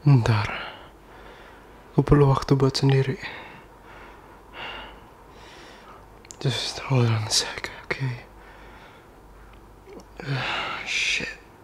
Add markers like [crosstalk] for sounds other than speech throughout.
Ntar, aku perlu waktu buat sendiri. Just hold on a sec, okay? shit.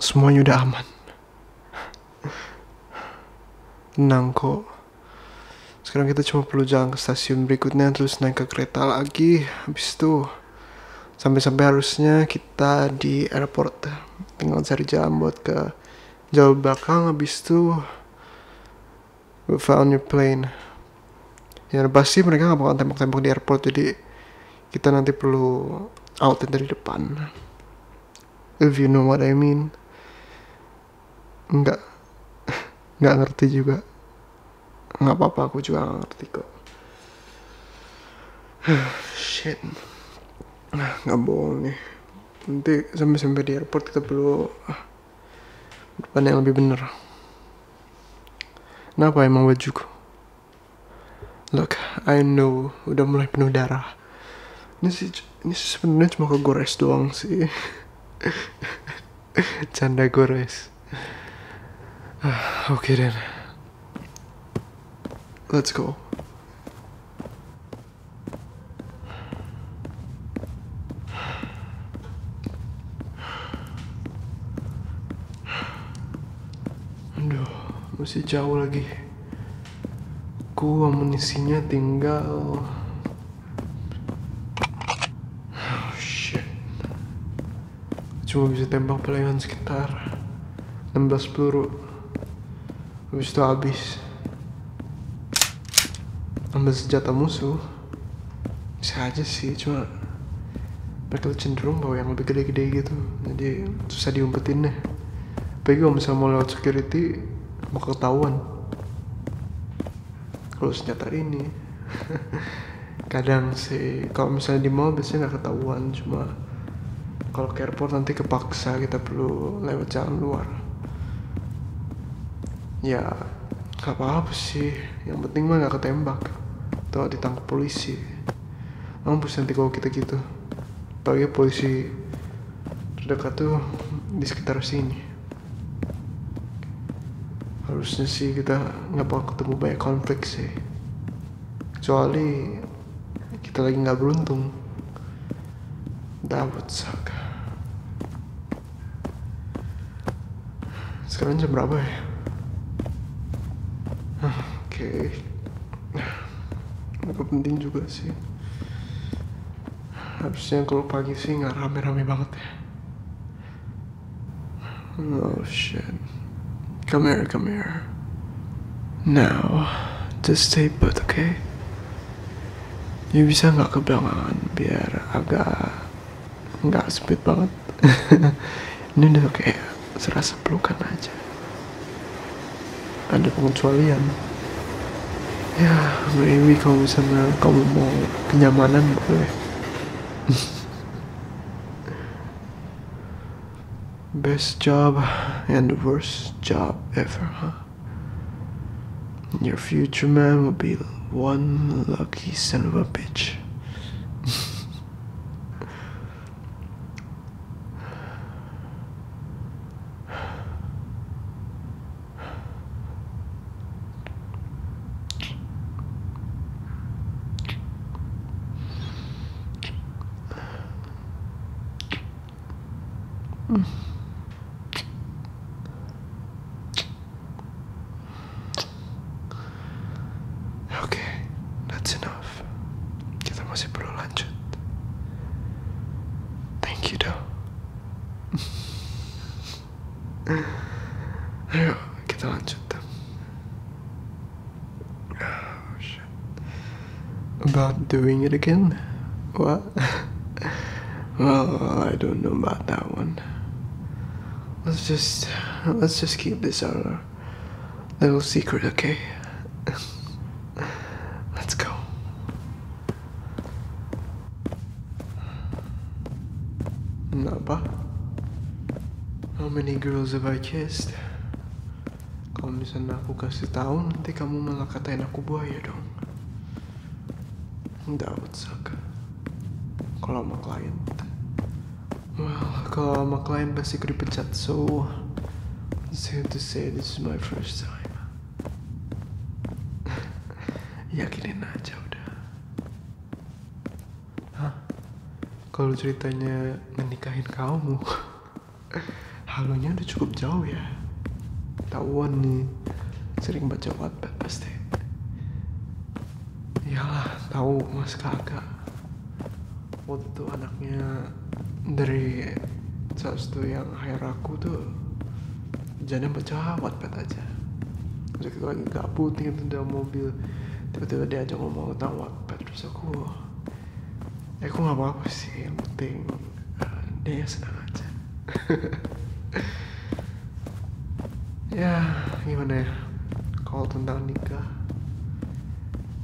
semuanya udah aman. Tenang kok. Sekarang kita cuma perlu jalan ke stasiun berikutnya terus naik ke kereta lagi. Habis itu sampai-sampai harusnya kita di airport. Tinggal cari jalan buat ke jauh belakang habis itu we found your plane. Ya pasti mereka nggak bakal tembok-tembok di airport jadi kita nanti perlu out dari depan if you know what I mean Enggak, enggak [laughs] ngerti juga Enggak apa-apa aku juga ngerti kok [sighs] shit nah, nggak bohong nih nanti sampai sampai di airport kita perlu ah, depan yang lebih bener kenapa emang bajuku look I know udah mulai penuh darah ini sih ini sebenarnya cuma kegores doang sih [laughs] canda gores ah, oke okay, let's go Aduh, masih jauh lagi ku amunisinya tinggal oh, shit. cuma bisa tembak pelayanan sekitar 16 peluru habis itu habis ambil senjata musuh bisa aja sih cuma mereka cenderung bawa yang lebih gede-gede gitu jadi susah diumpetin deh tapi kalau misalnya mau lewat security mau ketahuan kalau senjata ini [laughs] kadang sih kalau misalnya di mall biasanya nggak ketahuan cuma kalau ke airport nanti kepaksa kita perlu lewat jalan luar ya nggak apa-apa sih yang penting mah nggak ketembak atau ditangkap polisi mampus nanti kalau kita gitu apalagi polisi terdekat tuh di sekitar sini harusnya sih kita nggak bakal ketemu banyak konflik sih kecuali kita lagi nggak beruntung dapat Saka sekarang jam berapa ya oke okay gak penting juga sih harusnya kalau pagi sih nggak rame-rame banget ya oh shit come here come here now just stay put okay you bisa nggak kebelangan biar agak nggak sempit banget [laughs] ini udah kayak serasa pelukan aja ada pengecualian ya maybe kalau misalnya kamu mau kenyamanan boleh [laughs] best job and the worst job ever huh? your future man will be one lucky son of a bitch [laughs] Okay, that's enough. Kita masih perlu lanjut. Thank you, though. Ayo, kita lanjut dong. Oh, shit. About doing it again? What? [laughs] well, I don't know about that one. Let's just let's just keep this our little secret, okay? [laughs] let's go. Napa? How many girls have I kissed? Kalau misalnya aku kasih tahu nanti kamu malah katain aku buaya dong. That usah suck. Kalau sama klien. Well, kalau sama klien pasti aku pecat so... It's safe to say this is my first time. [laughs] yakinin aja udah Hah? kalau ceritanya menikahin kamu [laughs] halonya udah cukup jauh ya tahuan nih sering baca wattpad pasti iyalah tahu mas kakak waktu anaknya dari salah satu yang hire aku tuh jadinya baca Wattpad aja jadi kita lagi gabut nih itu dalam mobil tiba-tiba dia aja ngomong tentang Wattpad terus aku ya eh, aku nggak apa-apa sih yang penting eh, dia senang aja [laughs] ya gimana ya kalau tentang nikah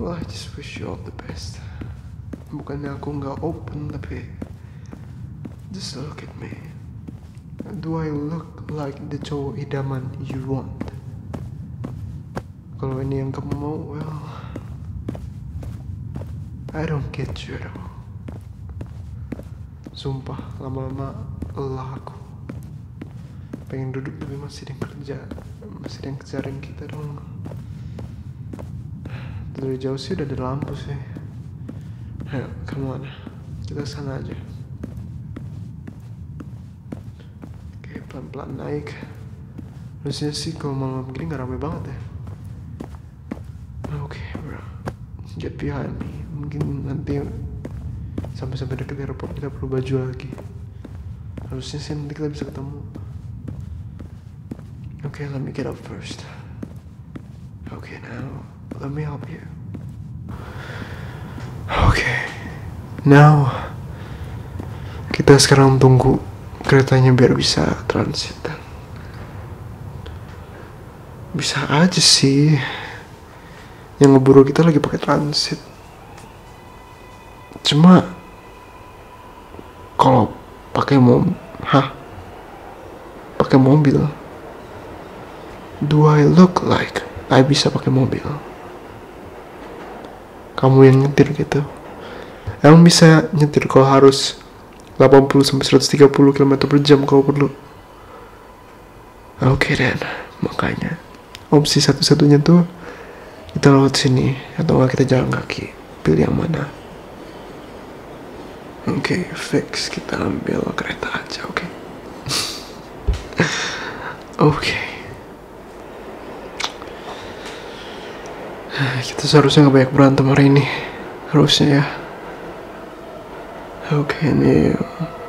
well I just wish you all the best bukannya aku nggak open tapi just look at me do I look like the cowok idaman you want kalau ini yang kamu mau well I don't get you at all sumpah lama-lama lelah aku pengen duduk tapi masih ada yang kerja masih ada yang kejarin kita dong dari jauh sih udah ada lampu sih ayo kamu on kita sana aja oke pelan-pelan naik harusnya sih kalau malam begini nggak rame banget ya oke okay, bro get behind me mungkin nanti sampai-sampai deket airport kita perlu baju lagi harusnya sih nanti kita bisa ketemu oke okay, let me get up first Okay, now let me help you. Oke, okay. now kita sekarang tunggu keretanya biar bisa transit bisa aja sih yang ngeburu kita lagi pakai transit. Cuma kalau pakai mom hah pakai mobil do I look like I bisa pakai mobil kamu yang nyetir gitu emang bisa nyetir kalau harus 80 sampai 130 km per jam kalau perlu oke okay, then makanya opsi satu-satunya tuh kita lewat sini atau nggak kita jalan kaki pilih yang mana oke okay, fix kita ambil kereta aja oke okay? [laughs] oke okay. kita seharusnya nggak banyak berantem hari ini harusnya ya oke okay, ini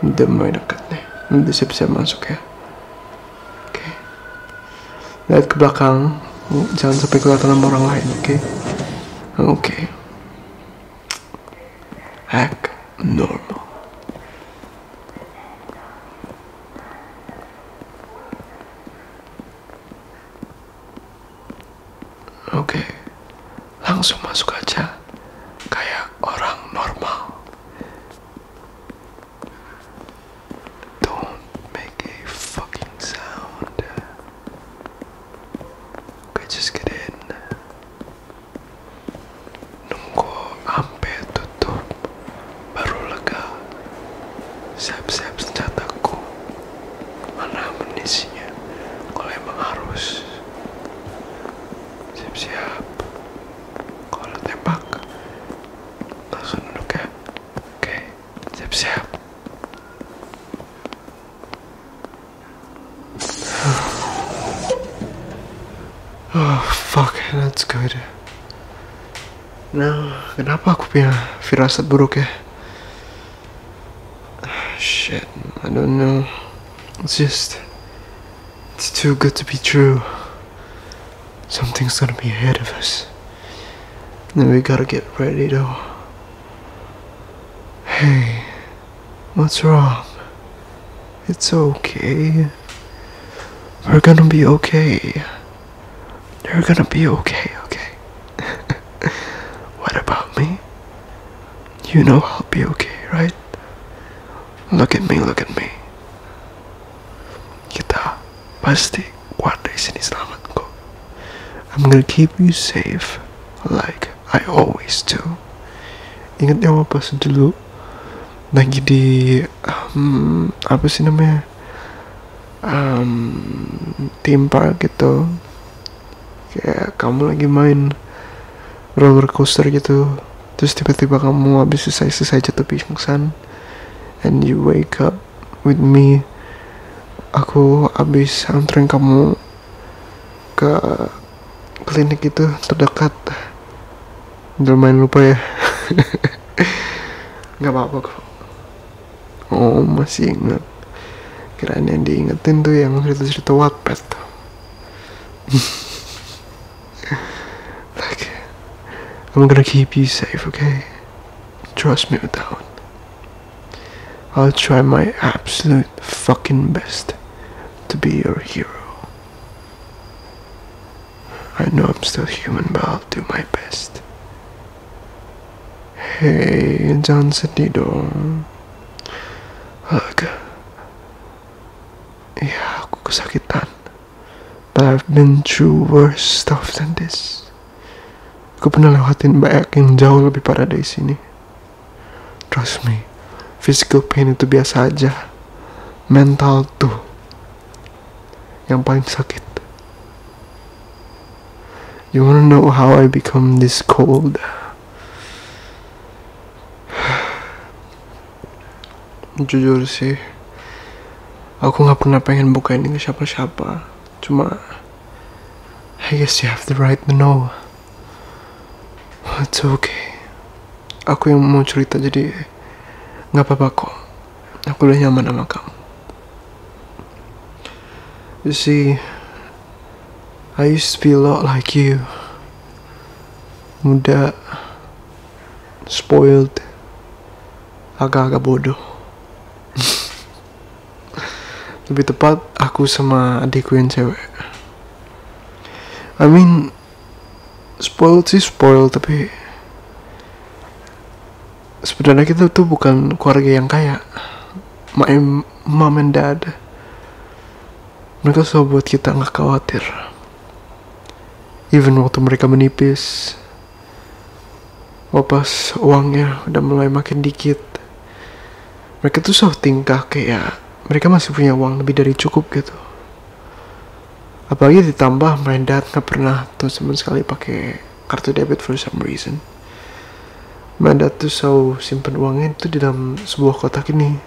udah mulai dekat nih udah siap-siap masuk ya oke okay. lihat ke belakang jangan sampai kelihatan sama orang lain oke okay? oke okay. act Oke, langsung masuk aja, kayak orang normal. Don't make a fucking sound gue just kidding nunggu ampe tutup baru lega siap-siap senjataku mana amunisinya kalau emang harus siap-siap kalau tembak langsung duduk ya oke siap-siap Oh, fuck, that's good. Nah, kenapa aku punya firasat buruk ya? Shit, I don't know. It's just... It's too good to be true. Something's gonna be ahead of us. and we gotta get ready though. Hey, what's wrong? It's okay. We're gonna be okay. You're gonna be okay, okay? [laughs] what about me? You know I'll be okay, right? Look at me, look at me. Kita pasti kuat dari sini selamat I'm gonna keep you safe like I always do. Ingat ya pas dulu lagi di um, apa sih namanya um, theme gitu kayak kamu lagi main roller coaster gitu terus tiba-tiba kamu habis selesai-selesai jatuh pingsan and you wake up with me aku habis anterin kamu ke klinik itu terdekat Jangan main lupa ya [laughs] nggak apa-apa kok oh masih ingat kirain yang diingetin tuh yang cerita-cerita Wattpad like I'm gonna keep you safe okay trust me with that one I'll try my absolute fucking best to be your hero. I know I'm still human, but I'll do my best. Hey, John Sedidor. Look. Yeah, I'm ako kasakitan. But I've been through worse stuff than this. Aku pernah lewatin banyak yang jauh lebih parah dari sini. Trust me, physical pain itu biasa aja. Mental tuh yang paling sakit. You wanna know how I become this cold? [sighs] Jujur sih, aku nggak pernah pengen bukain ini ke siapa-siapa Cuma, I guess you have the right to know. It's okay. Aku yang mau cerita jadi nggak apa-apa kok. Aku udah nyaman sama kamu. You see, I used to be a lot like you. Muda, spoiled, agak-agak bodoh. [laughs] lebih tepat aku sama adikku yang cewek I mean spoil sih spoil tapi sebenarnya kita tuh bukan keluarga yang kaya my mom and dad mereka selalu buat kita nggak khawatir even waktu mereka menipis pas uangnya udah mulai makin dikit mereka tuh so tingkah kayak ya, mereka masih punya uang lebih dari cukup gitu apalagi ditambah dad nggak pernah tuh sama sekali pakai kartu debit for some reason dad tuh so simpen uangnya itu di dalam sebuah kotak ini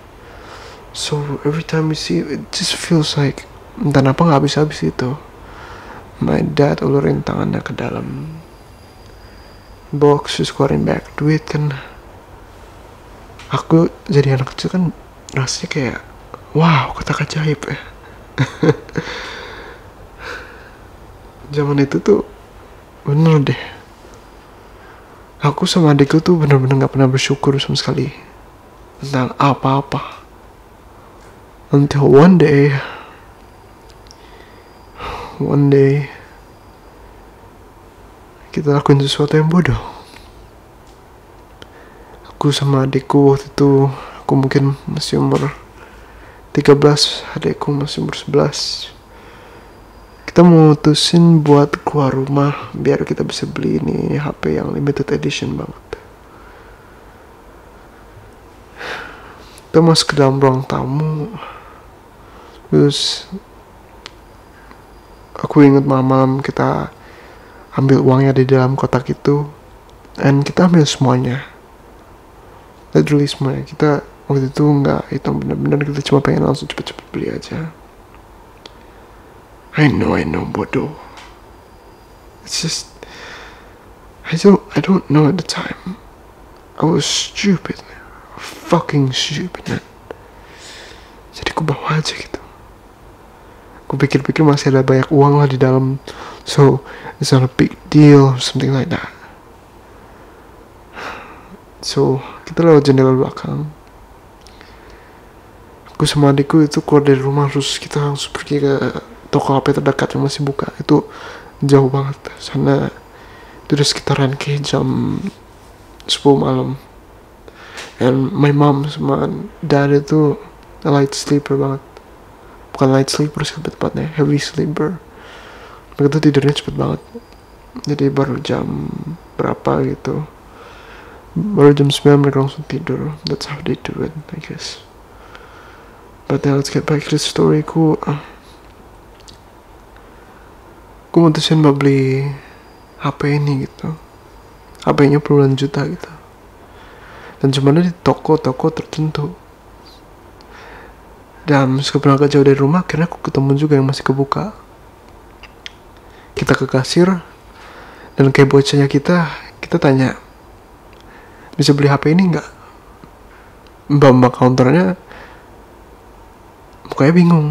so every time we see it, it just feels like entah apa nggak habis-habis itu my dad ulurin tangannya ke dalam box scoring back duit kan aku jadi anak kecil kan rasanya kayak wow kata ajaib ya [laughs] zaman itu tuh bener deh aku sama adikku tuh bener-bener gak pernah bersyukur sama sekali tentang apa-apa nanti until one day one day kita lakuin sesuatu yang bodoh aku sama adikku waktu itu aku mungkin masih umur 13 adikku masih umur 11 kita mutusin buat keluar rumah biar kita bisa beli ini HP yang limited edition banget kita masuk ke dalam ruang tamu terus aku inget malam-malam kita ambil uangnya di dalam kotak itu and kita ambil semuanya literally semuanya kita waktu itu nggak hitung bener-bener kita cuma pengen langsung cepet-cepet beli aja I know I know bodoh it's just I don't I don't know at the time I was stupid man. fucking stupid man. jadi aku bawa aja gitu aku pikir-pikir masih ada banyak uang lah di dalam so it's not a big deal or something like that so kita lewat jendela belakang aku sama adikku itu keluar dari rumah terus kita langsung pergi ke toko HP terdekat yang masih buka itu jauh banget sana itu udah sekitaran kayak jam 10 malam and my mom sama dad itu light sleeper banget bukan light sleeper sih tepatnya heavy sleeper mereka tuh tidurnya cepet banget jadi baru jam berapa gitu baru jam 9 mereka langsung tidur that's how they do it I guess but now let's get back to the story ku ah, gue mutusin buat beli HP ini gitu HP-nya puluhan juta gitu dan cuma di toko-toko tertentu dan meskipun agak jauh dari rumah akhirnya aku ketemu juga yang masih kebuka kita ke kasir dan kayak bocahnya kita kita tanya bisa beli HP ini nggak mbak mbak counternya mukanya bingung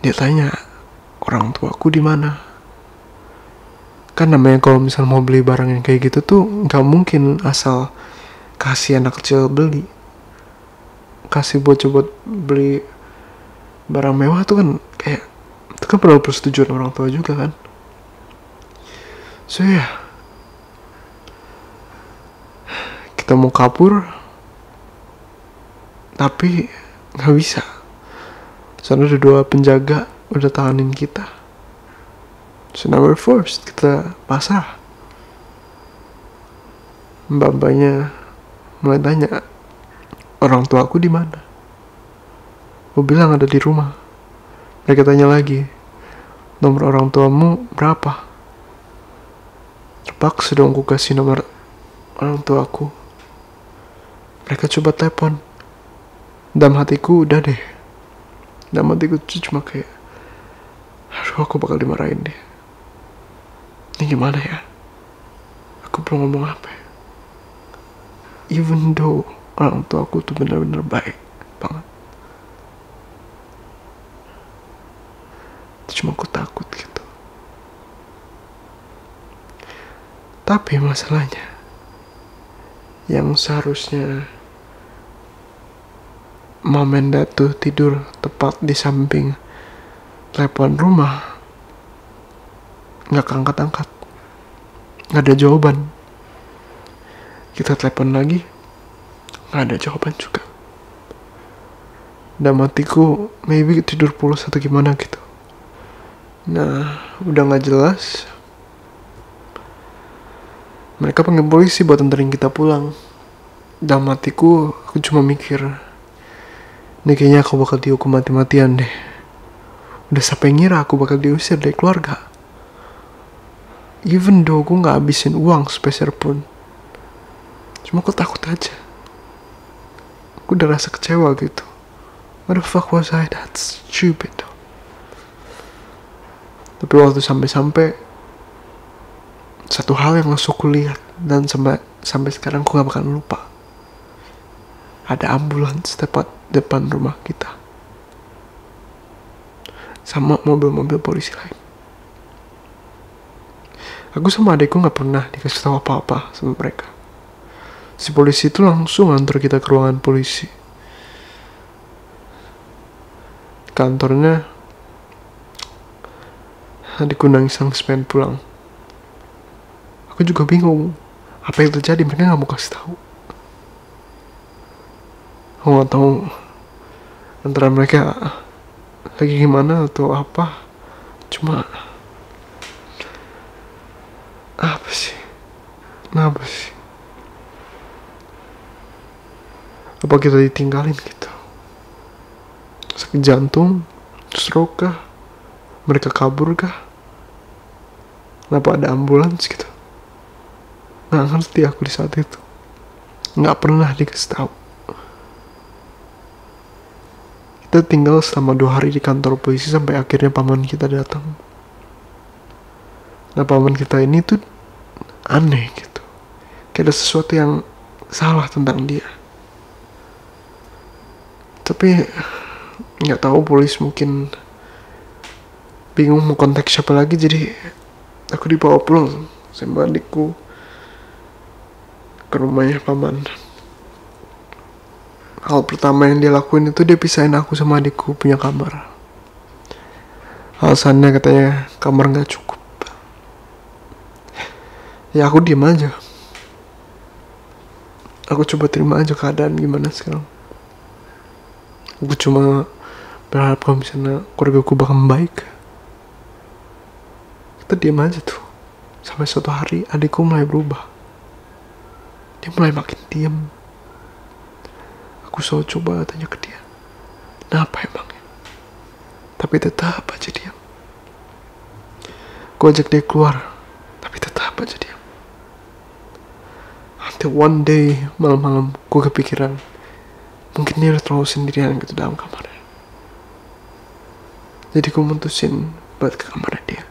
dia tanya orang tuaku di mana kan namanya kalau misal mau beli barang yang kayak gitu tuh nggak mungkin asal kasih anak kecil beli kasih buat coba beli barang mewah tuh kan kayak itu kan perlu persetujuan orang tua juga kan so ya yeah kita mau kabur tapi nggak bisa sana ada dua penjaga udah tahanin kita so now we're forced kita pasrah mbak-mbaknya mulai tanya orang tua aku di mana aku bilang ada di rumah mereka tanya lagi nomor orang tuamu berapa Terpaksa dong ku kasih nomor orang tua aku. Mereka coba telepon. Dalam hatiku udah deh. Dalam hatiku cuma kayak, aduh aku bakal dimarahin deh. Ini gimana ya? Aku belum ngomong apa. Ya? Even though orang tua aku tuh bener-bener baik banget cuma aku takut gitu tapi masalahnya yang seharusnya mamenda Datu tidur tepat di samping telepon rumah nggak kangkat angkat nggak ada jawaban kita telepon lagi nggak ada jawaban juga dan matiku maybe tidur pulas atau gimana gitu nah udah nggak jelas mereka panggil polisi buat anterin kita pulang dan matiku aku cuma mikir ini kayaknya aku bakal dihukum mati-matian deh udah yang ngira aku bakal diusir dari keluarga even though gue nggak habisin uang sepeser pun cuma aku takut aja aku udah rasa kecewa gitu what the fuck was I that stupid tapi waktu sampai-sampai satu hal yang langsung aku lihat dan sampai sampai sekarang aku gak bakal lupa ada ambulans tepat depan rumah kita sama mobil-mobil polisi lain Aku sama adekku nggak pernah dikasih tahu apa-apa sama mereka. Si polisi itu langsung antar kita ke ruangan polisi. Kantornya adekku nangis nangis pengen pulang. Aku juga bingung apa yang terjadi mereka nggak mau kasih tahu. Aku nggak tahu antara mereka lagi gimana atau apa cuma apa sih kenapa sih apa kita ditinggalin gitu sakit jantung stroke kah mereka kabur kah kenapa ada ambulans gitu nggak ngerti aku di saat itu nggak pernah dikasih tahu kita tinggal selama dua hari di kantor polisi sampai akhirnya paman kita datang. Nah paman kita ini tuh aneh gitu. Kayak ada sesuatu yang salah tentang dia. Tapi nggak tahu polis mungkin bingung mau kontak siapa lagi jadi aku dibawa pulang sama adikku ke rumahnya paman hal pertama yang dia lakuin itu dia pisahin aku sama adikku punya kamar alasannya katanya kamar nggak cukup ya aku diem aja aku coba terima aja keadaan gimana sekarang aku cuma berharap kalau misalnya keluarga aku bakal baik kita diam aja tuh sampai suatu hari adikku mulai berubah dia mulai makin diam aku selalu coba tanya ke dia kenapa emangnya tapi tetap aja diam aku ajak dia keluar tapi tetap aja diam until one day malam-malam gue kepikiran mungkin dia terlalu sendirian gitu dalam kamarnya jadi gue mutusin buat ke kamar dia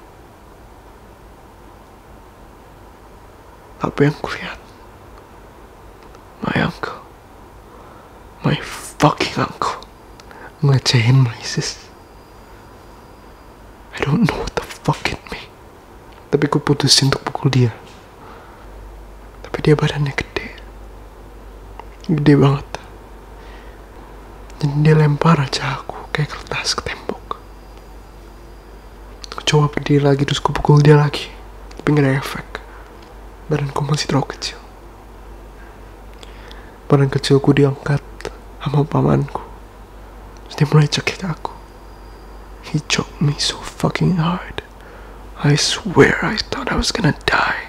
tapi yang kulihat my uncle my fucking uncle ngecehin my sis I don't know what the fuck it me tapi gue putusin untuk pukul dia tapi dia badannya gede gede banget dan dia lempar aja aku kayak kertas ke tembok aku coba berdiri lagi terus ku pukul dia lagi tapi gak ada efek masih terlalu kecil badan kecilku diangkat sama pamanku terus dia mulai cekik aku he choked me so fucking hard I swear I thought I was gonna die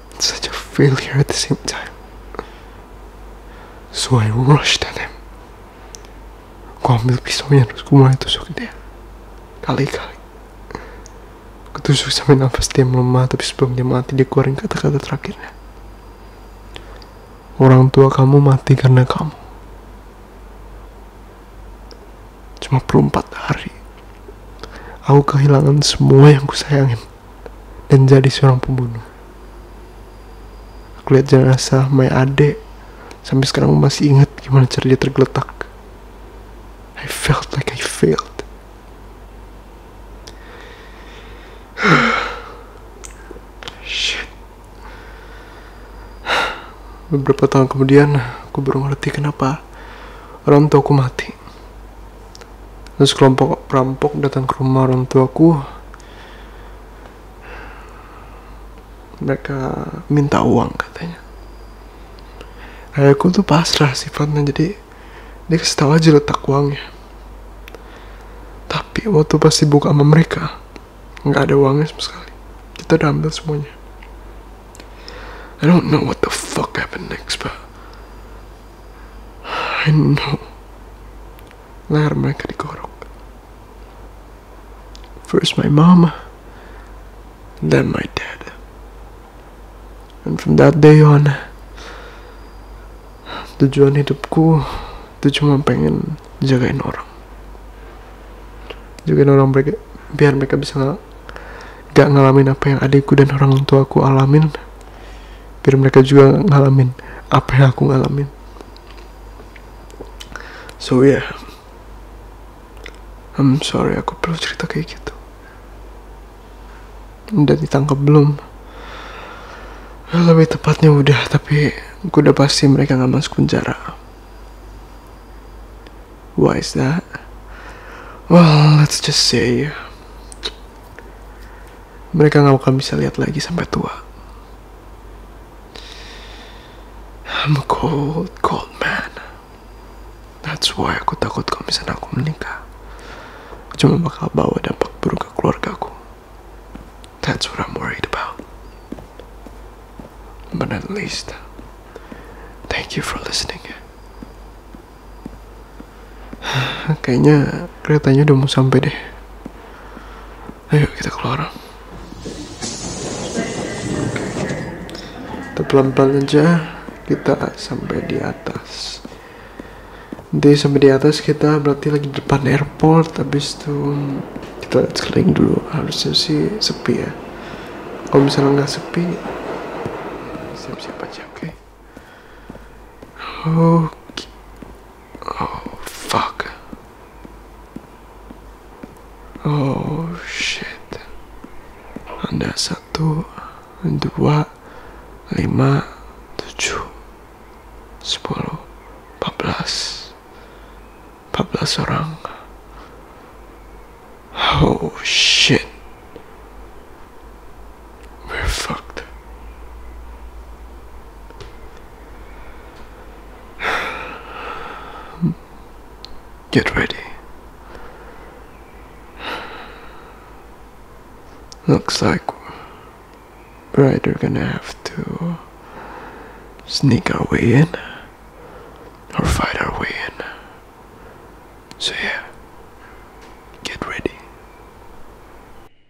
and such a failure at the same time. So I rushed at him. Gue ambil pisaunya terus gue mulai tusuk dia. Kali-kali. Ketusuk tusuk sampai nafas dia melemah tapi sebelum dia mati dia keluarin kata-kata terakhirnya. Orang tua kamu mati karena kamu. Cuma perlu empat hari. Aku kehilangan semua yang kusayangin dan jadi seorang pembunuh. Aku lihat jenazah my ade sampai sekarang masih ingat gimana cara dia tergeletak. I felt like I failed. [sighs] Beberapa tahun kemudian, aku baru ngerti kenapa orang aku mati. Terus kelompok perampok datang ke rumah orang tuaku. Mereka minta uang katanya. Ayahku tuh pasrah sifatnya jadi dia kasih tahu aja letak uangnya. Tapi waktu pas buka sama mereka nggak ada uangnya sama sekali. Kita udah ambil semuanya. I don't know what the fuck happened next, but I know leher mereka dikorok. First my mama, then my dad. And from that day on, tujuan hidupku itu cuma pengen jagain orang. Jagain orang mereka, biar mereka bisa nggak ngalamin apa yang adikku dan orang tuaku alamin biar mereka juga ngalamin apa yang aku ngalamin so yeah I'm sorry aku perlu cerita kayak gitu udah ditangkap belum lebih tepatnya udah tapi gue udah pasti mereka nggak masuk penjara why is that well let's just say mereka nggak akan bisa lihat lagi sampai tua. I'm a cold, cold man. That's why aku takut kalau misalnya aku menikah. Cuma bakal bawa dampak buruk ke keluarga aku. That's what I'm worried about. But at least, thank you for listening. [sighs] Kayaknya keretanya udah mau sampai deh. Ayo kita keluar. Kita pelan-pelan aja kita sampai di atas. Nanti sampai di atas kita berarti lagi di depan airport habis itu kita lihat sekeliling dulu harusnya sih sepi ya kalau misalnya nggak sepi siap-siap aja oke okay? oke okay. Oh, fuck. Oh, shit. Anda satu, dua, lima, tujuh, sepuluh, empat belas. Empat belas orang. Oh, shit. We're fucked. Get ready. Looks like we're either gonna have to sneak our way in or fight our way in. So yeah, get ready.